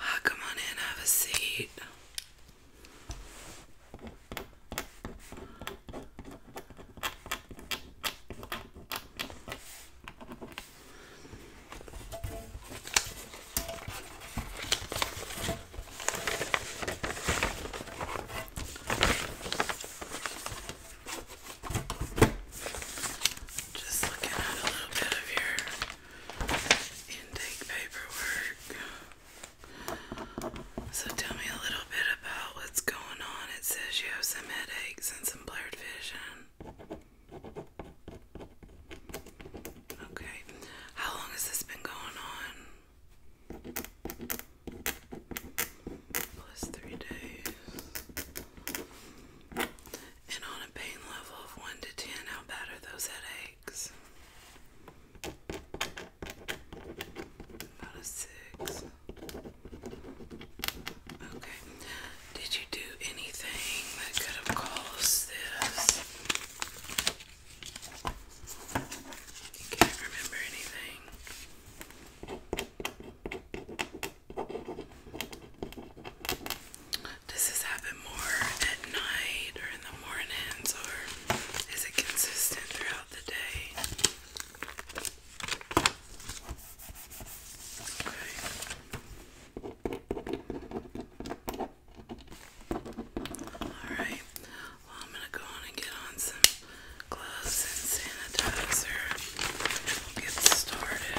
Ah, come on in, have a seat. Just looking at a little bit of your intake paperwork. So tell me a little bit about what's going on. It says you have some headaches and some blurred vision. Okay. How long has this been going on? Plus three days. And on a pain level of 1 to 10, how bad are those headaches? About a 6. Okay. Did you do anything that could have caused this? can't remember anything. Does this happen more at night or in the mornings or is it consistent throughout the day? Okay. Alright, well, I'm gonna go and get on some gloves and sanitizer. We'll get started.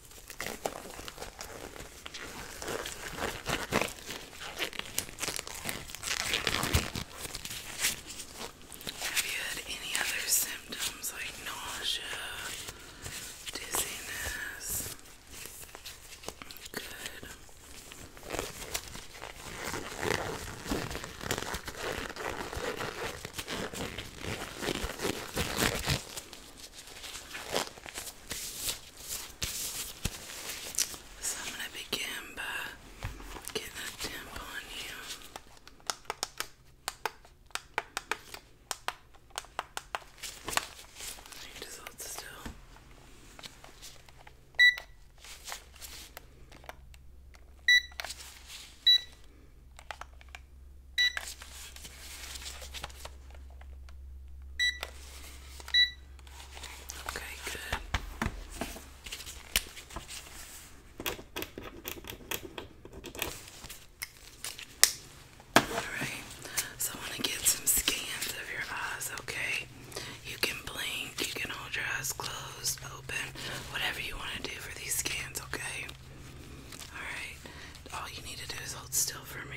Have you had any other symptoms like nausea, dizziness? Good. Okay. So I'm going to begin by getting a temp on you. You just hold still. Okay, good. Alright, so I want to get some scans of your eyes, okay? You can blink, you can hold your eyes closed, open, whatever you want to do for these scans, okay? Alright, all you need to do is hold still for me.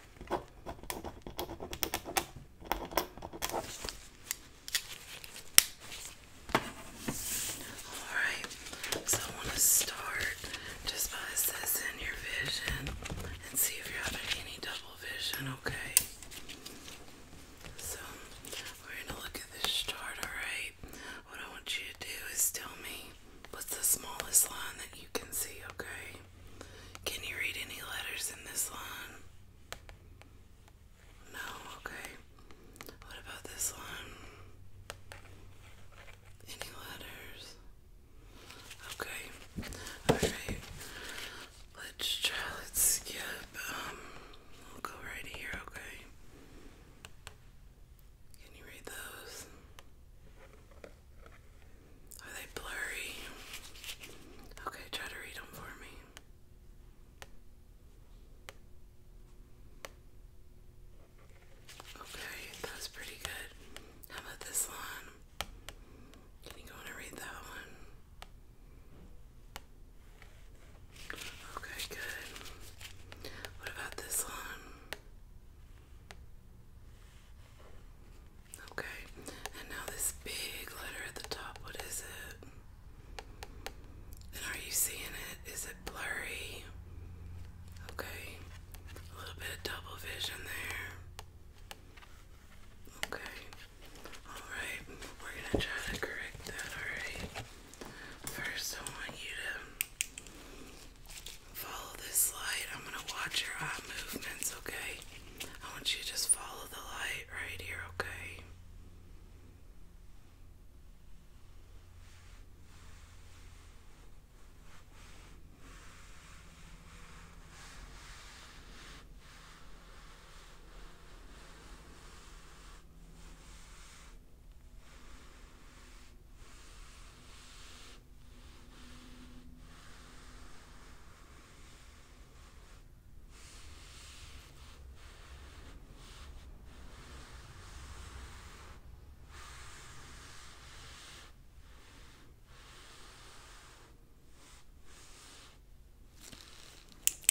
Alright, so I want to start just by assessing your vision and see if you're having any double vision, okay? So, we're going to look at this chart, alright? What I want you to do is tell me What's the smallest line that you can see, okay? Can you read any letters in this line? No, okay. What about this line? Any letters? Okay. Alright. Let's try, let's skip. Um, we'll go right here, okay? Can you read those? Are they blurry? Okay, try to read them for me. Okay, that was pretty good. How about this one? Can you go and read that one? Okay, good. What about this one? Okay, and now this big letter at the top, what is it? And are you seeing it? Is it blurry? Okay, a little bit of double vision there. Okay, alright, we're gonna try to correct that, alright? First, I want you to Follow this light. I'm gonna watch your eye movements, okay? I want you to just follow the light right here, okay?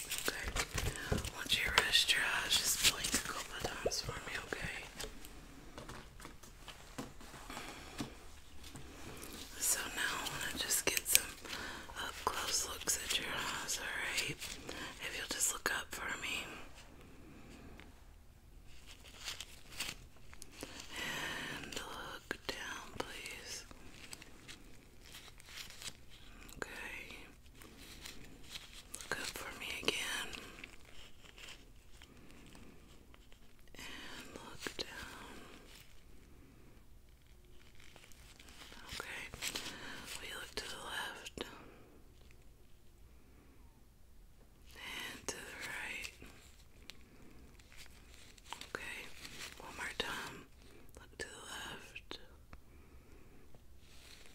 Okay. Once you rest your eyes, just blink a couple of times for me, okay? So now I want to just get some up close looks at your eyes, alright? If you'll just look up for me. And look down, please. Okay. Look up for me again and look down. Okay, we look to the left and to the right. Okay, one more time. Look to the left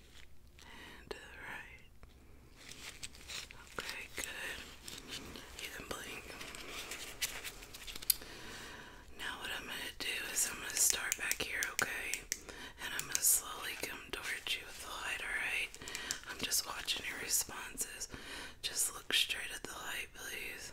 and uh, right. Okay, good. You can blink. Now what I'm gonna do is I'm gonna start back here, okay? And I'm gonna slowly come towards you with the light, alright? I'm just watching your responses. Just look straight at the light, please.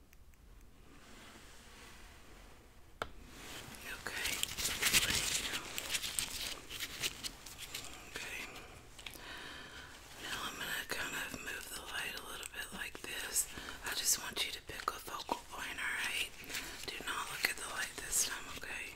Okay. Okay. Now I'm gonna kind of move the light a little bit like this. I just want you to pick a focal point, alright? Do not look at the light this time, okay?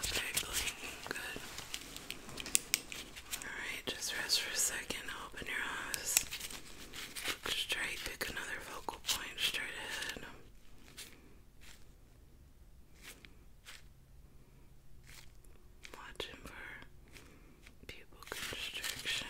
Okay, blinking, good. Alright, just rest for a second, open your eyes. straight, pick another focal point straight ahead. Watching for pupil constriction.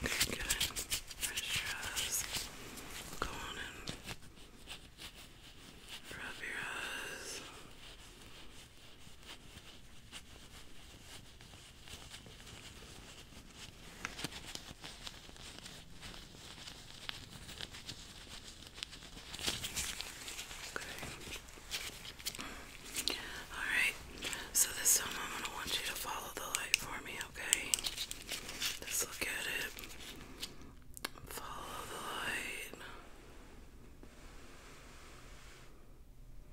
Okay, good. Pressurize. Go on and rub your eyes. Alright, so this time I'm going to want you to follow the light for me, okay? Just look at it. Follow the light.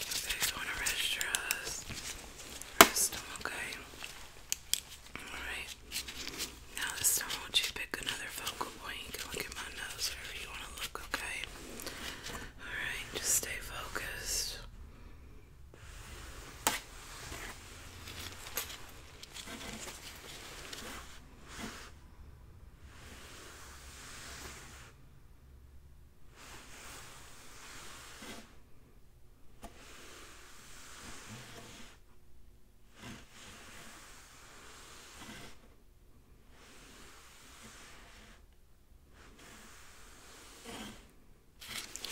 They're going to rest Rest okay? Alright. Now this time I want you pick another focal point. look at my nose wherever you want to look, okay? Alright, just stay focused.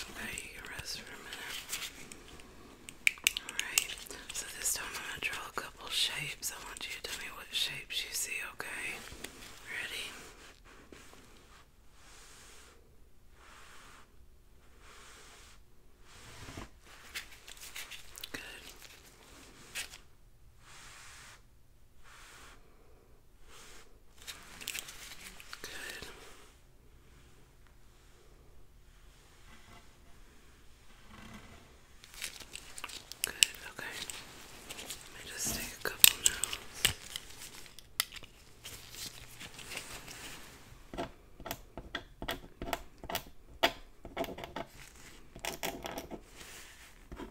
Alright, you can rest for a minute. Alright, so this time I'm going to draw a couple shapes. I want you to tell me what shapes you see, okay? Ready? Good. Good. Good, okay. Let me just take a couple now.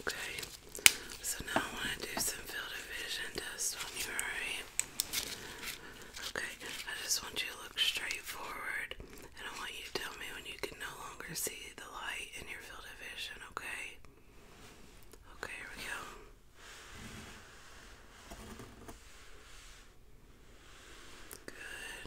Okay, so now I want to do some field of vision test on you, alright? Okay, I just want you to look straight forward and I want you to tell me when you can no longer see the light in your field of vision, okay? Okay, here we go. Good.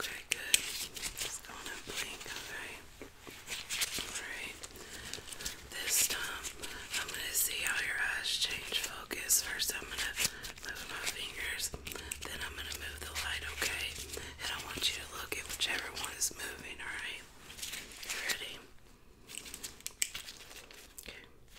Okay, good. Just going to blink, alright? Alright. This time, I'm going to see how your eyes change focus. First, I'm going to move my fingers, then I'm going to move the light, okay? And I want you to look at whichever one is moving, alright? Ready? Okay.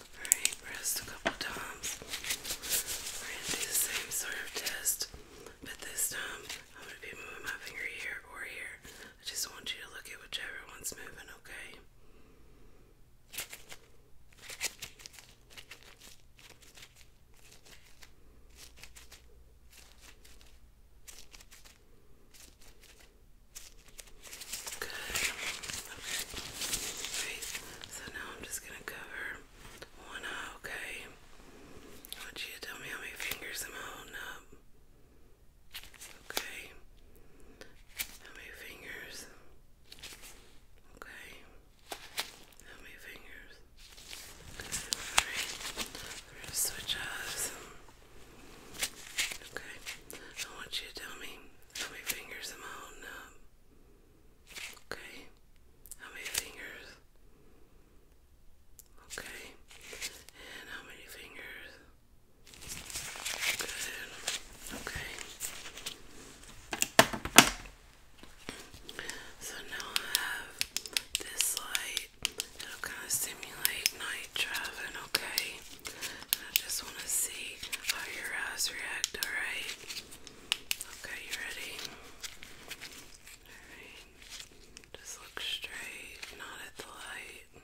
Alright, pressed a couple times. We're gonna do the same sort of test, but this time I'm gonna be moving my finger here or here. I just want you to look at whichever one's moving, okay? Good. Okay. so now I'm just gonna cover one eye, okay? I want you to tell me how many fingers I'm holding up. Okay. How many fingers? Okay. How many fingers? Alright. We're gonna switch eyes. Okay. I want you to tell me how many fingers I'm holding up. Okay. How many fingers? Okay. And how many fingers? Good. Okay. So now I have this light. It'll kind of simulate night traveling, okay? I just want to see how your eyes react, alright? Okay, you ready? Alright. Just look straight, not at the light.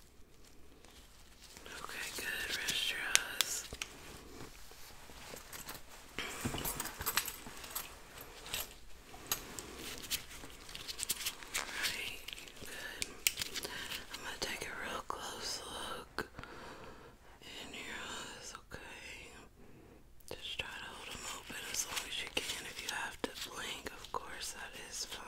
Okay, good. Rest your eyes. Alright, good. I'm gonna take a real close look in your eyes, okay? Just try to hold them open as long as you can. If you have to blink, of course, that is fine.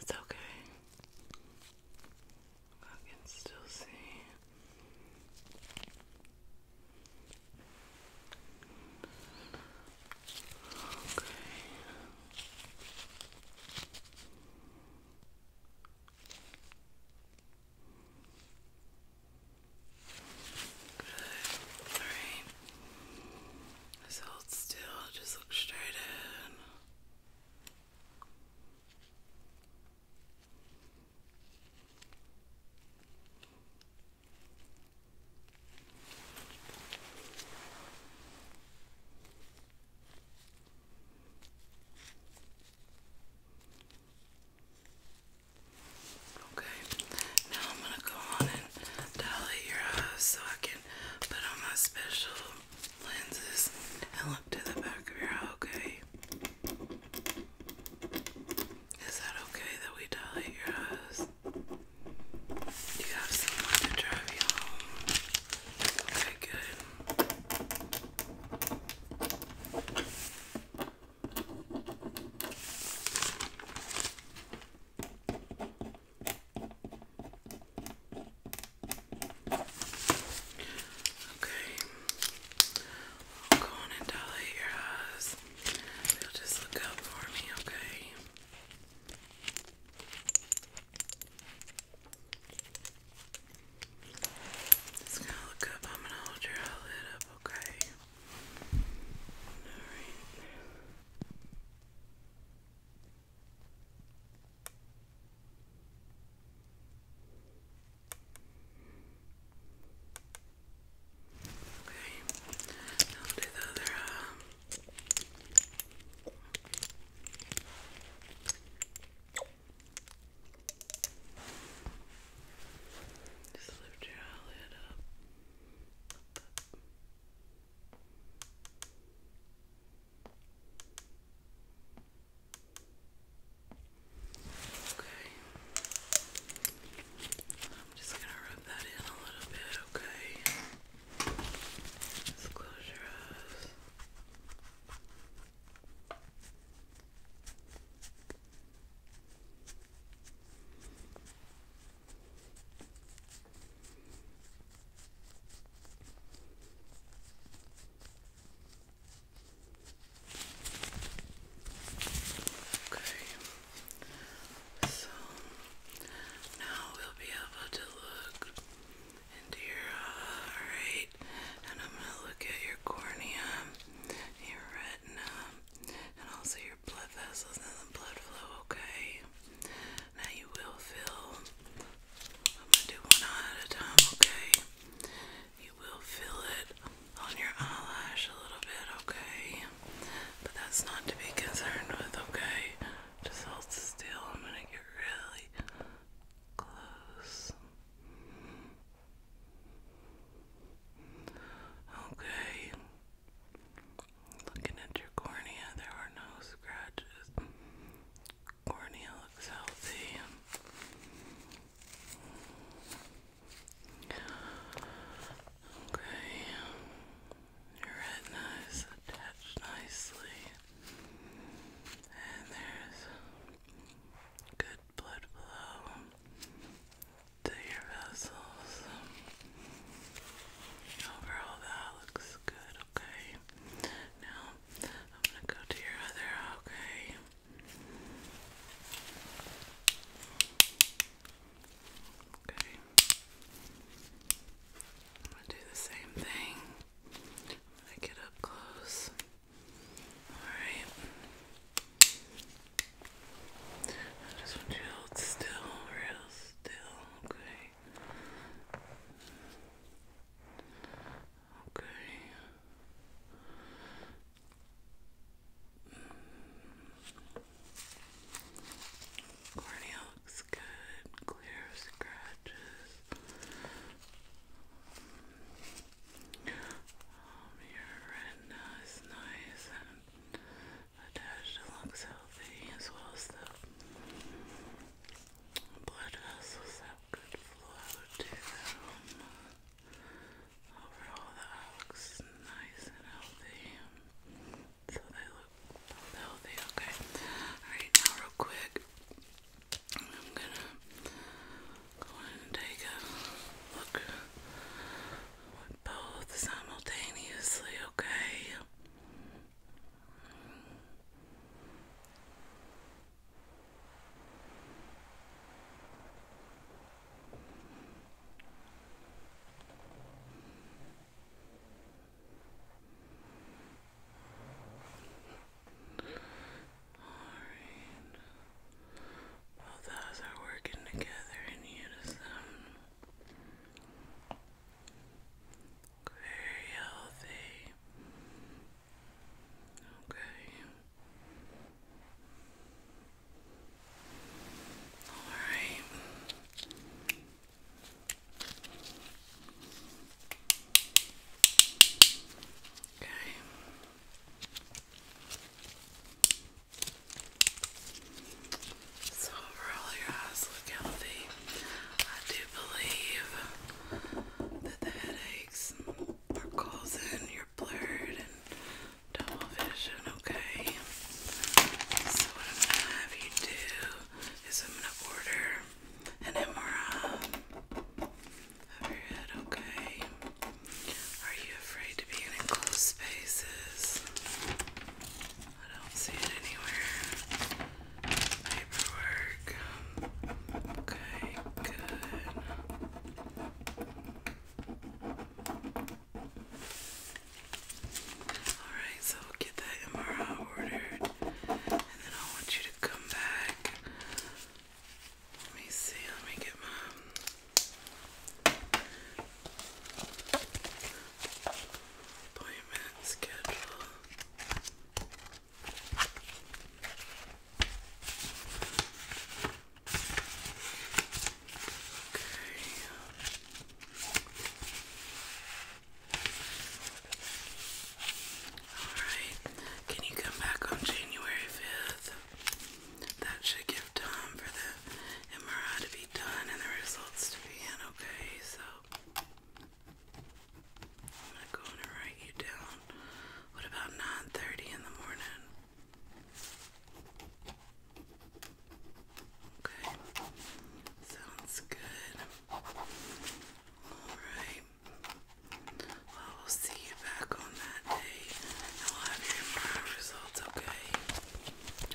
It's okay. I can still see Okay. Good. Alright. Just hold still, just look straight in. Okay, now I'm gonna go on and dilate your eyes so I can put on my special lenses and look to the back of your eye, okay? Is that okay that we die at your house? You have someone to drive you home. Okay, good. Okay. I'll go on dilate your eyes. You'll just look out for me, okay? Just gonna look up. I'm gonna hold your eyelid up, okay? Alright. Okay, I'll do the other lift your eyelid up. Okay. I'm just gonna rub that in a little bit, okay? Just close your eyes. Okay, so now we'll be able to look into your eye, And I'm gonna look at your cornea, your retina, and also your blood vessels and the blood flow, okay? Now you will feel. I'm gonna do one eye at a time, okay? You will feel it on your eyelash a little bit, okay? But that's not to be concerned with, okay? Just hold still. I'm gonna get really close. Okay. Looking at your cornea, there are no scratches. Cornea looks healthy. Okay, your retina is attached nicely, and there's good blood flow to your vessels. Overall, that looks good. Okay, now I'm gonna go to your other. Okay. Okay. I'm gonna do the same thing. i get up close. Alright. I just want you to still, real still, okay. Okay. Cornea looks good. Clear scratches. Um, your retina is nice and attached. It looks healthy as well as blood vessels have good flow to overall that looks nice and healthy. So they look healthy, okay. Alright, now real quick, I'm gonna go in and take a look both simultaneously, okay? Alright. Both eyes are working together in unison. Very healthy. Okay. All right. Okay. So overall, your eyes look healthy. I do believe that the headaches are causing your blurred and double vision, okay? So what I'm gonna have you do is I'm gonna order an MRI of your head, okay? Are you afraid to be in enclosed spaces? I don't see it anywhere. Paperwork. Okay, good. Alright, so we'll get that MRI ordered. And then I want you to come back. Let me see, let me get my appointment schedule. Alright, can you come back on January 5th? That should give time for the MRI to be done and the results to be in, okay? So, I'm going to write you down. What about 9.30 in the morning? Okay, sounds good. Alright. Well, will see you back on that day. And we'll have your results, okay?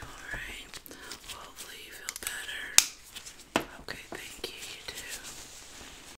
Alright. hopefully you feel better. Okay, thank you, you too.